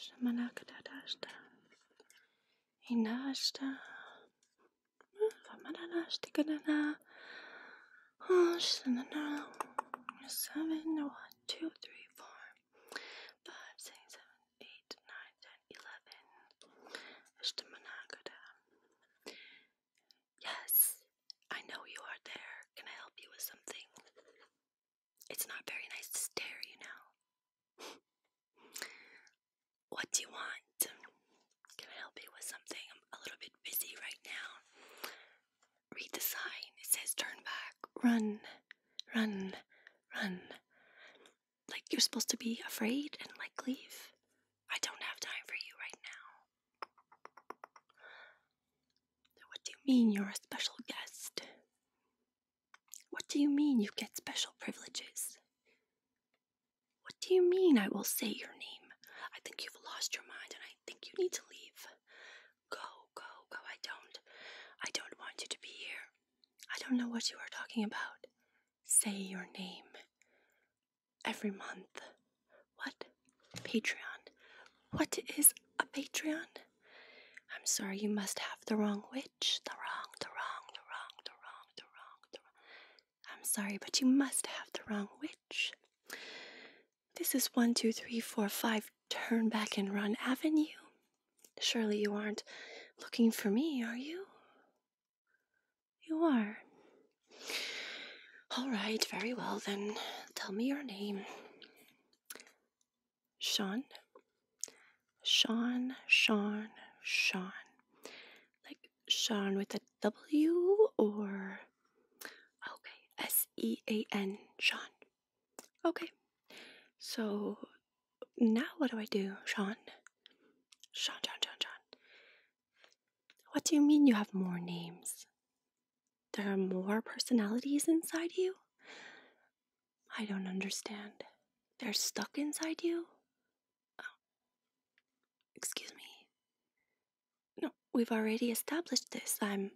Şamalakadadashta. Inashta. Famadadashtikadana. Oshanana. Seven, one, two, three, four, five, six, seven, eight, nine, ten, eleven. Ashtamanakada. Yes, I know you are there. Can I help you with something? It's not very nice to stare, you know. what do you want? Can I help you with something? I'm a little bit busy right now. Read the sign. It says turn back. Run, run, run. Like you're supposed to be afraid and like leave. I don't have time for you right now. What do you mean you're a special guest? What do you mean you get special privileges? What do you mean I will say your name? I think you've lost your mind and I think you need to leave. Go, go, go. I don't. I don't want you to be here. I don't know what you are talking about. Say your name. Every month. What? Patreon. What is a Patreon? I'm sorry, you must have the wrong witch. The wrong, the wrong, the wrong, the wrong, the wrong, the wrong. I'm sorry, but you must have the wrong witch. This is one, two, three, four, five, turn back and run avenue. Surely you aren't looking for me, are you? You are. All right, very well then. Tell me your name. Sean, Sean, Sean, Sean. Like Sean with a W or okay, S E A N, Sean. Okay, so now what do I do, Sean? Sean, Sean, Sean, Sean. What do you mean you have more names? There are more personalities inside you? I don't understand. They're stuck inside you? Oh, excuse me. No, we've already established this. I'm.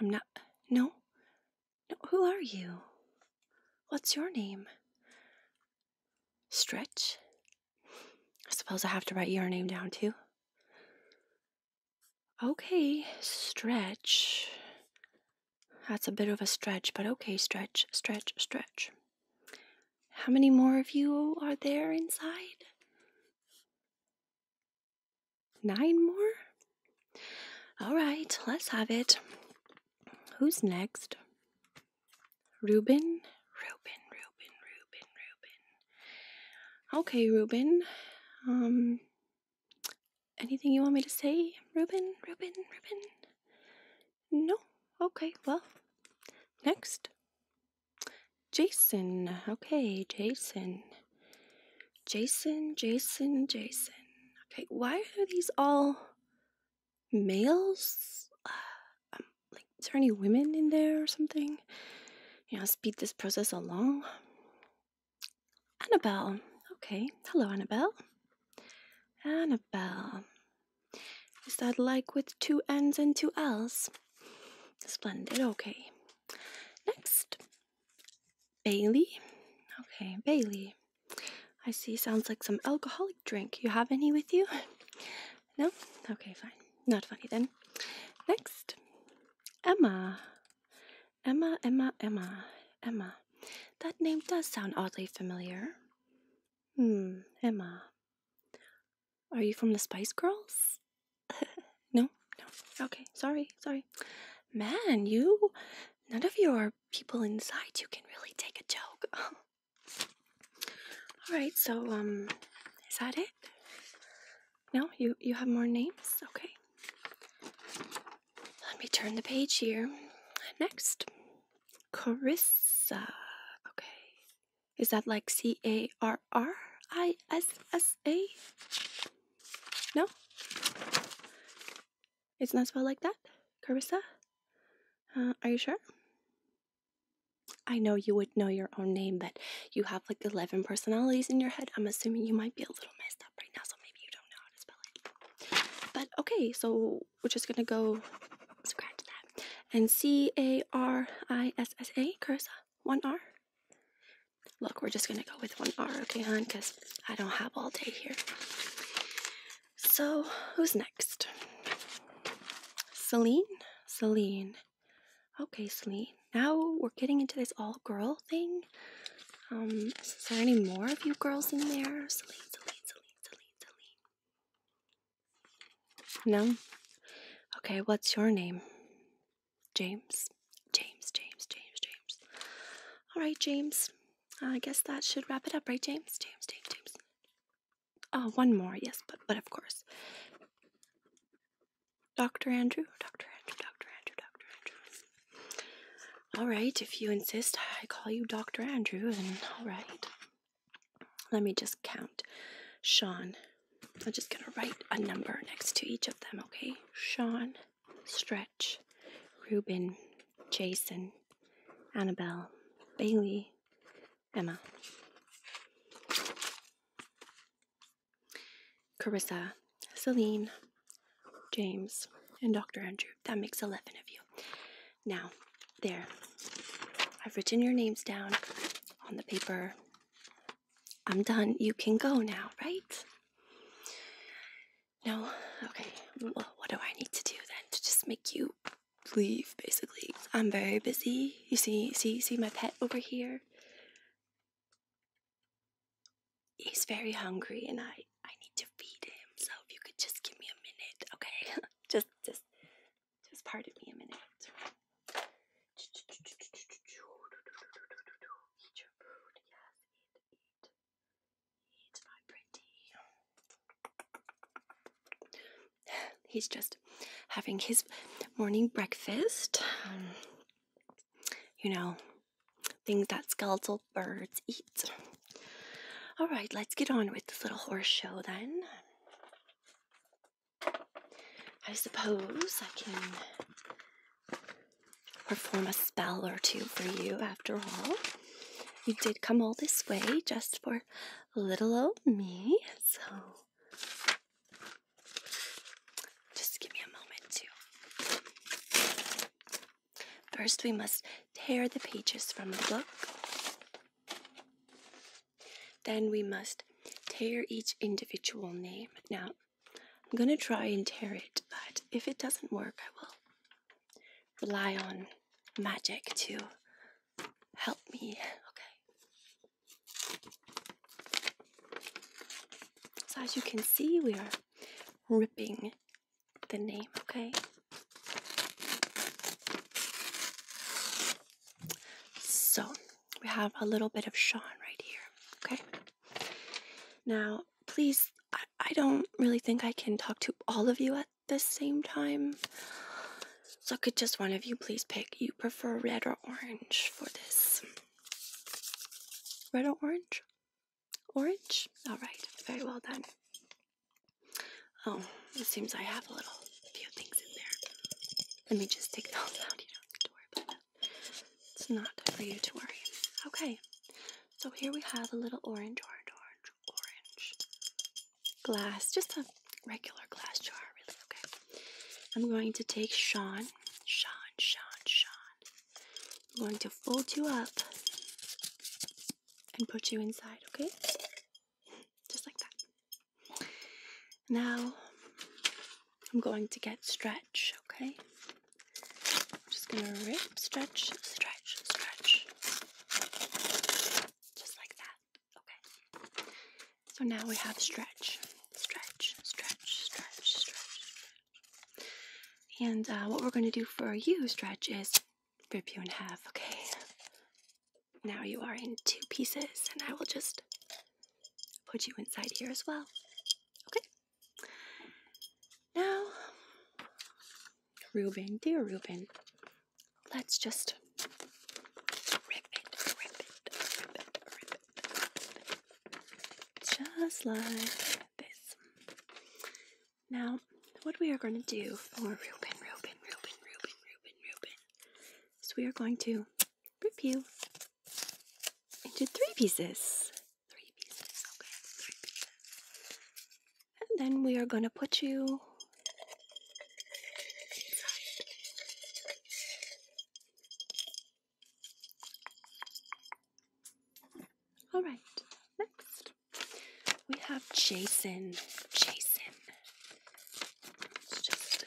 I'm not. No. No, who are you? What's your name? Stretch? I suppose I have to write your name down too. Okay, stretch. That's a bit of a stretch, but okay, stretch, stretch, stretch. How many more of you are there inside? Nine more? All right, let's have it. Who's next? Ruben. Ruben. Ruben. Ruben. Ruben. Okay, Ruben. Um, Anything you want me to say, Ruben? Ruben? Ruben? No? Okay, well, next. Jason. Okay, Jason. Jason, Jason, Jason. Okay, why are these all males? Uh, um, like, is there any women in there or something? You know, speed this process along. Annabelle. Okay. Hello, Annabelle. Annabelle. Is that like with two N's and two L's? Splendid. Okay. Next. Bailey. Okay, Bailey. I see. Sounds like some alcoholic drink. You have any with you? No? Okay, fine. Not funny then. Next. Emma. Emma, Emma, Emma, Emma. That name does sound oddly familiar. Hmm, Emma. Are you from the Spice Girls? no, no. Okay, sorry, sorry. Man, you. None of your people inside you can really take a joke. Alright, so, um, is that it? No, you you have more names. Okay. Let me turn the page here. Next, Carissa. Okay. Is that like C A R R I S S A? No? is not that spelled like that? Carissa? Uh, are you sure? I know you would know your own name but you have like 11 personalities in your head. I'm assuming you might be a little messed up right now, so maybe you don't know how to spell it. But okay, so we're just gonna go scratch that. And C A R I S S A, Cursa, one R. Look, we're just gonna go with one R, okay, hon? Because I don't have all day here. So, who's next? Celine? Celine. Okay, Celine. Now we're getting into this all-girl thing. Um, is there any more of you girls in there? Celine, Celine, Celine, Celine, Celine. No? Okay, what's your name? James. James, James, James, James. All right, James. I guess that should wrap it up, right, James? James, James, James. Oh, one more, yes, but, but of course. Dr. Andrew, Dr. Andrew, Dr. Andrew, Dr. Andrew. All right, if you insist, I call you Dr. Andrew, and all right. Let me just count. Sean. I'm just going to write a number next to each of them, okay? Sean, Stretch, Ruben, Jason, Annabelle, Bailey, Emma. Carissa, Celine, James, and Dr. Andrew. That makes 11 of you. Now, there. I've written your names down on the paper. I'm done. You can go now, right? No? Okay. Well, what do I need to do then to just make you leave, basically? I'm very busy. You see, see, see my pet over here? He's very hungry and I I need to feed him. So if you could just give me a minute, okay? just just just pardon me a minute. He's just having his morning breakfast. Um, you know, things that skeletal birds eat. All right, let's get on with this little horse show then. I suppose I can perform a spell or two for you after all. You did come all this way just for little old me, so just give me a moment to. First, we must tear the pages from the book. Then we must tear each individual name. Now, I'm going to try and tear it, but if it doesn't work, I will rely on magic to help me. Okay. So as you can see, we are ripping the name, okay? So we have a little bit of Sean right here, okay? Now, please, I, don't really think I can talk to all of you at the same time. So could just one of you please pick? You you prefer red or orange for this? Red or orange? Orange? Alright, very well done. Oh, it seems I have a little few things in there. Let me just take those out. You don't need to worry about that. It's not for you to worry. Okay, so here we have a little orange, orange, orange, orange glass. Just a regular glass jar, really. Okay. I'm going to take Sean, Sean, Sean, Sean. I'm going to fold you up and put you inside, okay? Just like that. Now, I'm going to get stretch, okay? just gonna rip, stretch, stretch, stretch. Just like that. Okay. So now we have stretch, stretch, stretch, stretch, stretch. And uh, what we're going to do for you, stretch, is rip you in half, okay? Now you are in two pieces, and I will just put you inside here as well. Okay? Now, Ruben, dear Ruben, let's just just like this. Now, what we are going to do for Ruben, Ruben, Reuben, Reuben, Reuben, is we are going to rip you into three pieces. And then we are going to put you. All right, next we have Jason. Jason. Let's just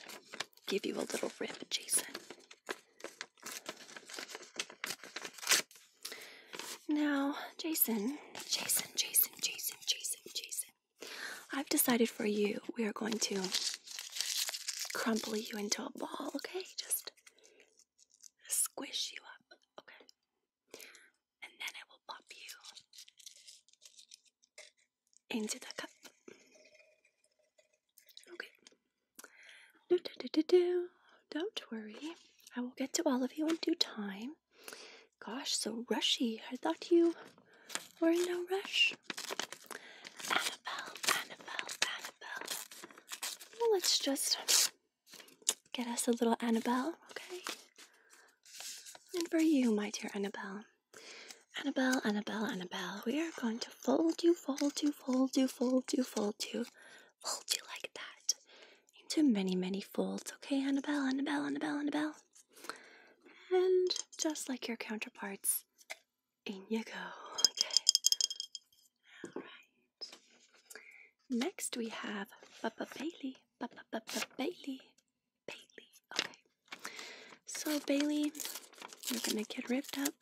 give you a little rip, Jason. Now, Jason, Jason, Jason, Jason, Jason, Jason. I've decided for you, we are going to crumple you into a ball, okay? Just squish you up, okay? And then I will pop you into the cup. Okay. Do, do, do, do, do. Don't worry. I will get to all of you in due time. Gosh, so rushy. I thought you we're in no rush. Annabelle, Annabelle, Annabelle. Well, let's just get us a little Annabelle, okay? And for you, my dear Annabelle. Annabelle, Annabelle, Annabelle, we are going to fold you, fold you, fold you, fold you, fold you, fold you like that into many, many folds, okay, Annabelle, Annabelle, Annabelle, Annabelle? And just like your counterparts, in you go. Okay. All right. Next we have Papa Bailey. Papa Papa Bailey. Bailey. Okay. So Bailey, you're gonna get ripped up.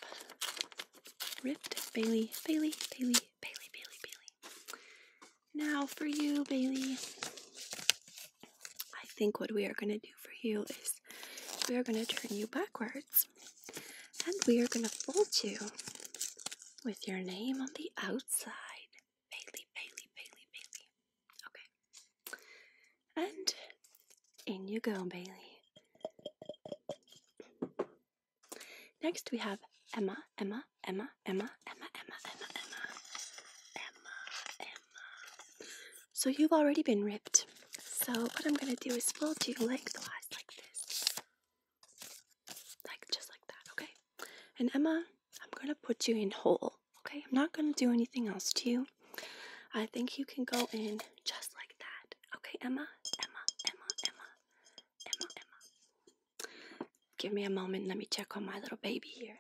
Ripped Bailey. Bailey. Bailey. Bailey. Bailey. Bailey. Now for you, Bailey. I think what we are going to do for you is we are going to turn you backwards and we are going to fold you with your name on the outside. Bailey, Bailey, Bailey, Bailey. Okay. And in you go, Bailey. Next we have Emma, Emma, Emma, Emma, Emma, Emma, Emma, Emma, Emma, Emma, so you've already been ripped. So what I'm gonna do is fold you lengthwise like this. Like just like that, okay? And Emma, I'm gonna put you in hole, Okay, I'm not gonna do anything else to you. I think you can go in just like that. Okay, Emma, Emma, Emma, Emma, Emma, Emma. Give me a moment, let me check on my little baby here.